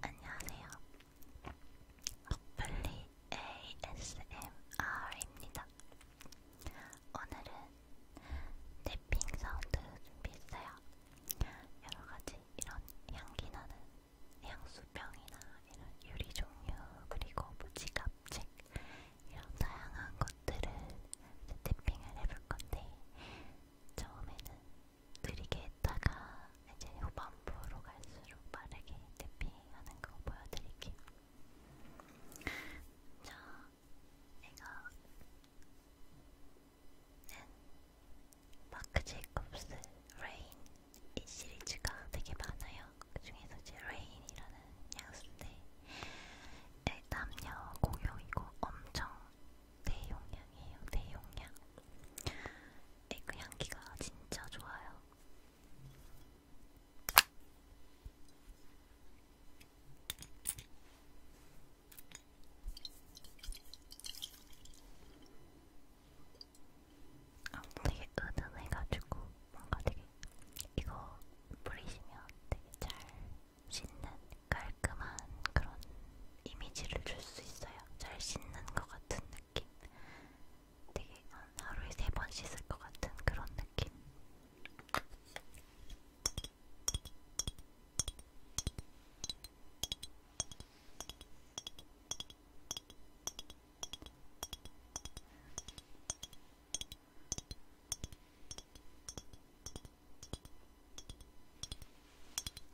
안녕하세요. 어플리 ASMR입니다. 오늘은 탭핑 사운드 준비했어요. 여러가지 이런 향기 나는 향수병이나 이런 유리 종류 그리고 무지갑 뭐 책 이런 다양한 것들을 탭핑을 해볼 건데 처음에는 느리게 했다가 이제 후반부로 갈수록 빠르게 대피하는 거 보여드릴게요. 자, 이거는 마크 제이콥스 레인 이 시리즈가 되게 많아요. 그 중에서 제 레인이라는 향수인데 남녀 공용이고 엄청 대용량이에요. 대용량. 에그 향기가 진짜 좋아요. 아, 되게 은은해가지고 뭔가 되게 이거 뿌리시면 되게 잘 씻는 깔끔한 그런 이미지를 줄 수 있어요. 잘 씻는 것 같은 느낌. 되게 한 하루에 세번 씻을 것 같은 그런 느낌.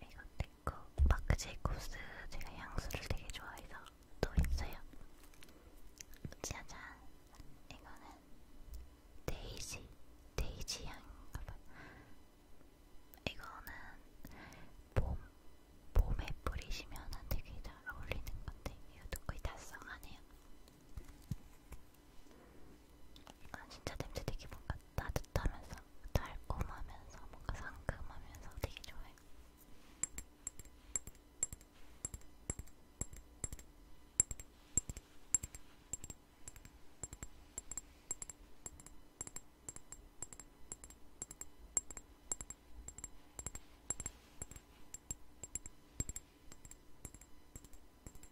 이거 내꺼 마크 제이콥스 제가 향수를 되게 좋아해서 또 있어요 짜잔 이거는 데이지 데이지 향인가봐요 이거는 봄, 봄에 뿌리시면 되게 잘 어울리는 건데 이것도 거의 다 써가네요 아 진짜 냄새 되게 뭔가 따뜻하면서 있어요. 달콤하면서 뭔가 상큼하면서 되게 좋아요.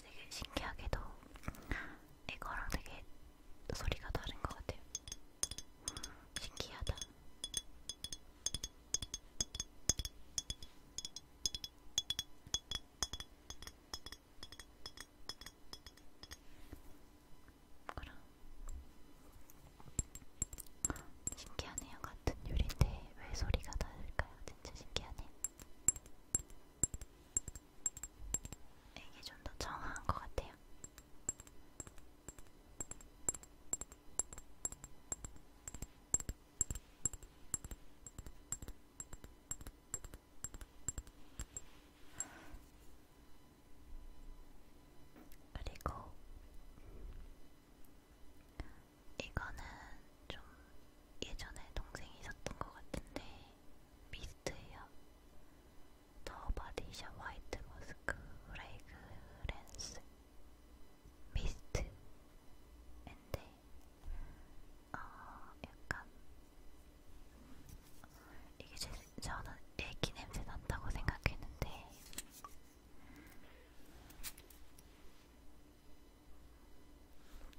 되게 신기하게도 이거랑 되게 소리가 다른 것 같아요. 신기하다. 그럼 신기하네요. 같은 요리인데 왜 소리가 다를까요? 진짜 신기하네. 이게 좀 더 정확한 것 같아요. 그리고 이거는 좀 예전에 동생이 샀던 것 같은데 미스트예요. 더 바디샵 화이트 머스크 레그렌스 미스트인데 어, 약간 이게 제, 저는 애기 냄새 난다고 생각했는데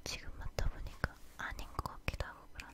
지금 맡다 보니까 아닌 것 같기도 하고 그러네.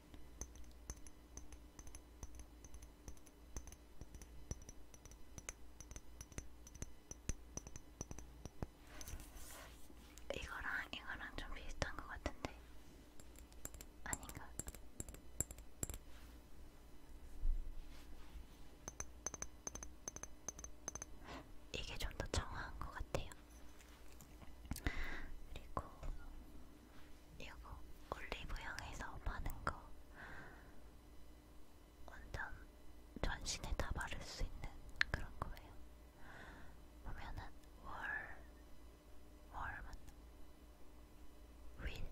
이거랑 이거랑 좀 비슷한 것 같은데 아닌가? 이게 좀 더 정화한 것 같아요. 그리고 이거 올리브영에서 파는 거 완전 전신에 다 바를 수 있는 그런 거예요. 보면은 월, 월 맞나? 윌,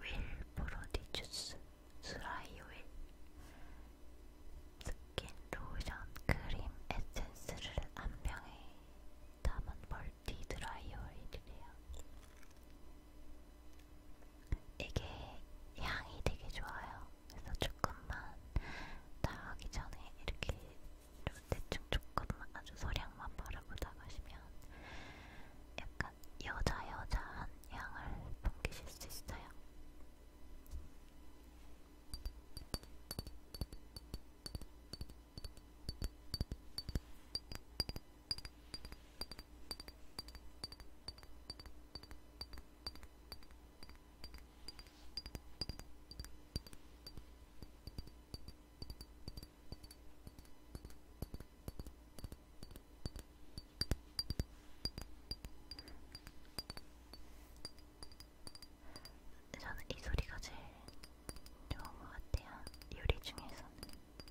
윌 프로디주스, 스라이 오일, 스킨, 로션, 크림, 에센스를 한 병에 담은 벌 디드라이어일이래요. 이게 향이 되게 좋아요. 그래서 조금만 나가기 전에 이렇게 대충 조금만 아주 소량만 바르고 나가시면 약간 여자 여자한 향을 풍기실 수 있어요. 저는 이 소리가 제일 좋은 것 같아요. 요리 중에서는. 음,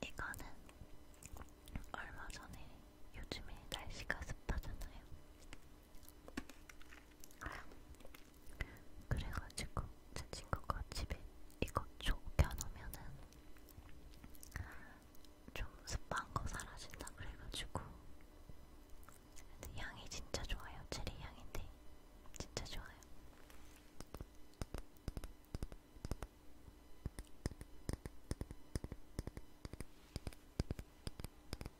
이거는 얼마 전에 요즘에 날씨가 습하잖아요. 그래가지고 제 친구가 집에 이거 쫓겨놓으면은 좀 습한 거 사라진다 그래가지고 근데 향이 진짜 좋아요. 체리 향인데 진짜 좋아요.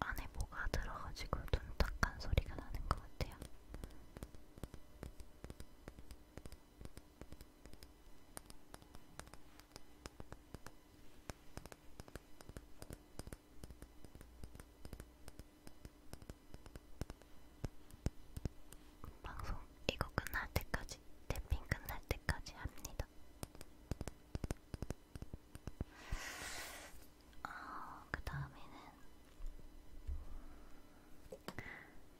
안에 뭐가 들어가지고 둔탁한 소리가 나는 것 같아요. 방송 이거 끝날 때까지, 탭핑 끝날 때까지 합니다. 어, 그 다음에는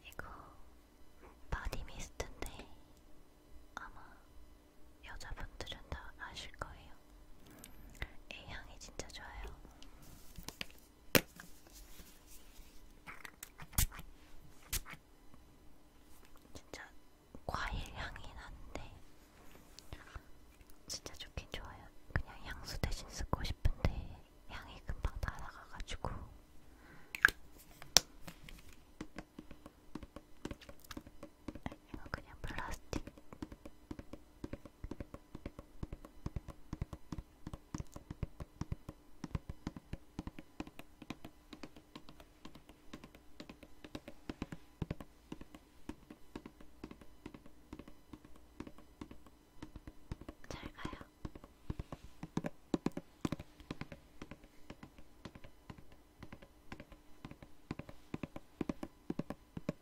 이거 바디 미스트인데 아마 여자분들은 다 아실 거예요. 이 향이 진짜 좋아요. 진짜 과일 향이 나는데 진짜 좋긴 좋아요. 그냥 향수 대신 쓰고 싶은데 향이 금방 다 나가가지고 이거 그냥 플라스틱 잘 가요.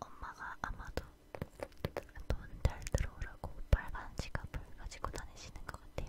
엄마가 아마도 돈 잘 들어오라고 빨간 지갑을 가지고 다니시는 것 같아요.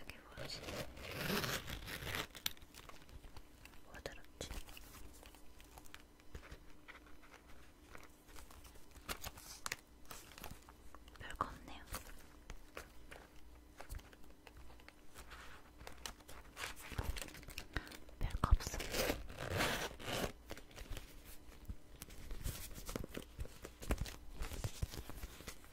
여기 뭐지? 뭐 들었지? 별거 없네요. 별거 없어.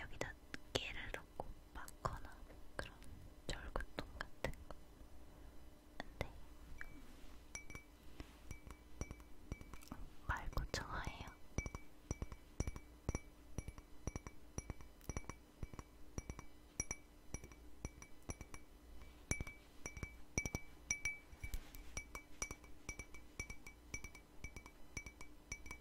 여기다 깨를 넣고 막거나 그런 절구통 같은 거. 근데 말고 좋아해요.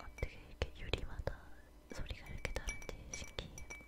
어떻게 이렇게 유리마다 소리가 이렇게 다른지 신기해요.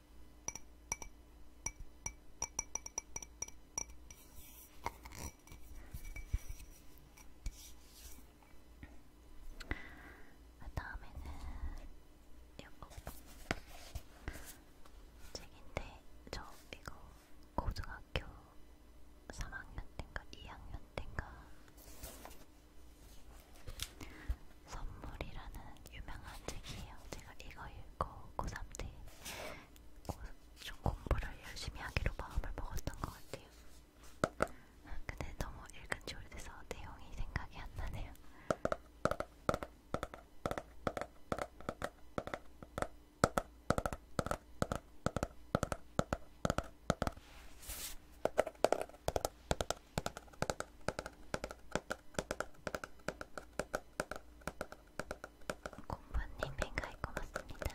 그 다음에는 이거 책인데 저 이거 고등학교 3학년 때인가 2학년 때인가 선물이라는 유명한 책이에요. 제가 이거 읽고 고3 때좀 공부를 열심히 하기로 마음을 먹었던 것 같아요. 근데 너무 읽은 지 오래돼서 내용이 생각이 안 나네요. 공부님 뱅가이 고맙습니다.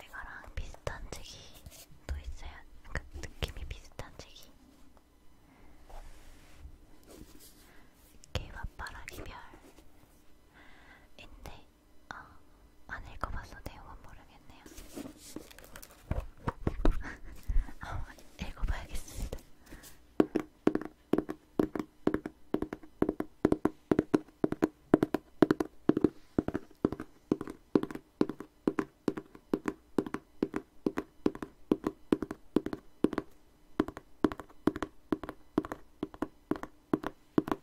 이거랑 비슷한 책이 또 있어요. 그 느낌이 비슷한 책이. 개밥바라기 별인데 아, 안 읽어봐서 내용은 모르겠네요. 아, 읽어봐야겠습니다.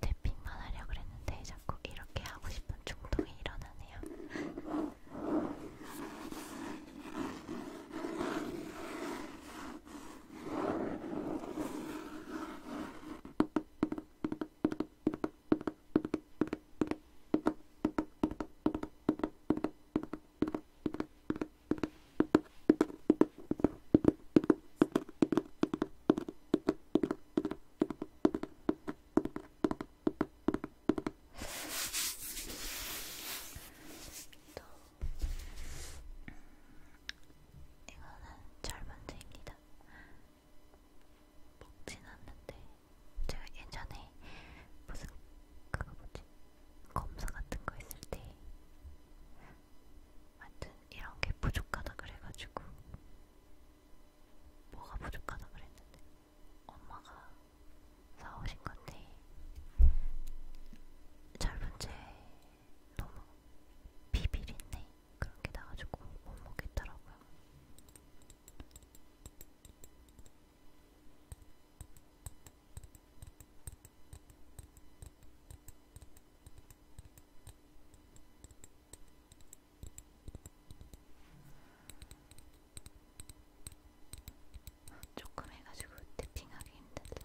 태핑만 하려 그랬는데 자꾸 이렇게 하고 싶은 충동이 일어나네요. 이거는 잘 만듭니다. 먹진 않는데 제가 예전에 무슨 그거 뭐지 검사 같은 거 했을 때 완전 이런 게 부족하다 그래가지고 뭐가 부족하다 그랬는데 엄마가 사오신 건데 짧은 제 너무 비비린내 그런 게 나가지고 못 먹겠더라고요. 조금 해가지고 태핑하기 힘들다.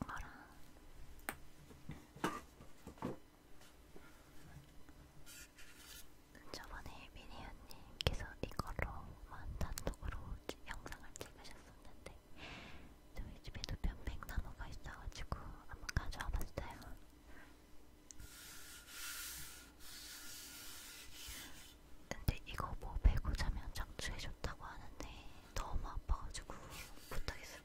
봐라. 저번에 미니언님께서 이걸로만 단독으로 영상을 찍으셨었는데 저희 집에도 편백나무가 있어가지고 한번 가져와봤어요. 근데 이거 뭐 베고 자면 적추해줬다고 하는데 너무 아파가지고 못하겠어요.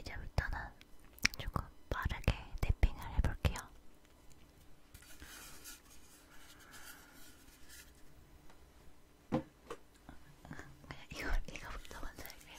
이제부터는 조금 빠르게 탭핑을 해볼게요. 그냥 이거, 이거부터 먼저 할게요.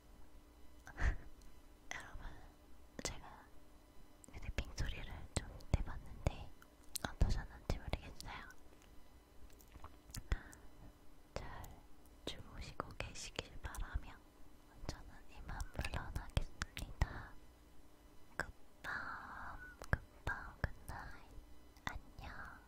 여러분, 제가 휴대핑 소리를 좀 내봤는데 어떠셨는지 모르겠어요. 잘 주무시고 계시길 바라며 저는 이만 물러나겠습니다. 굿밤, 굿밤, 굿나잇. 안녕.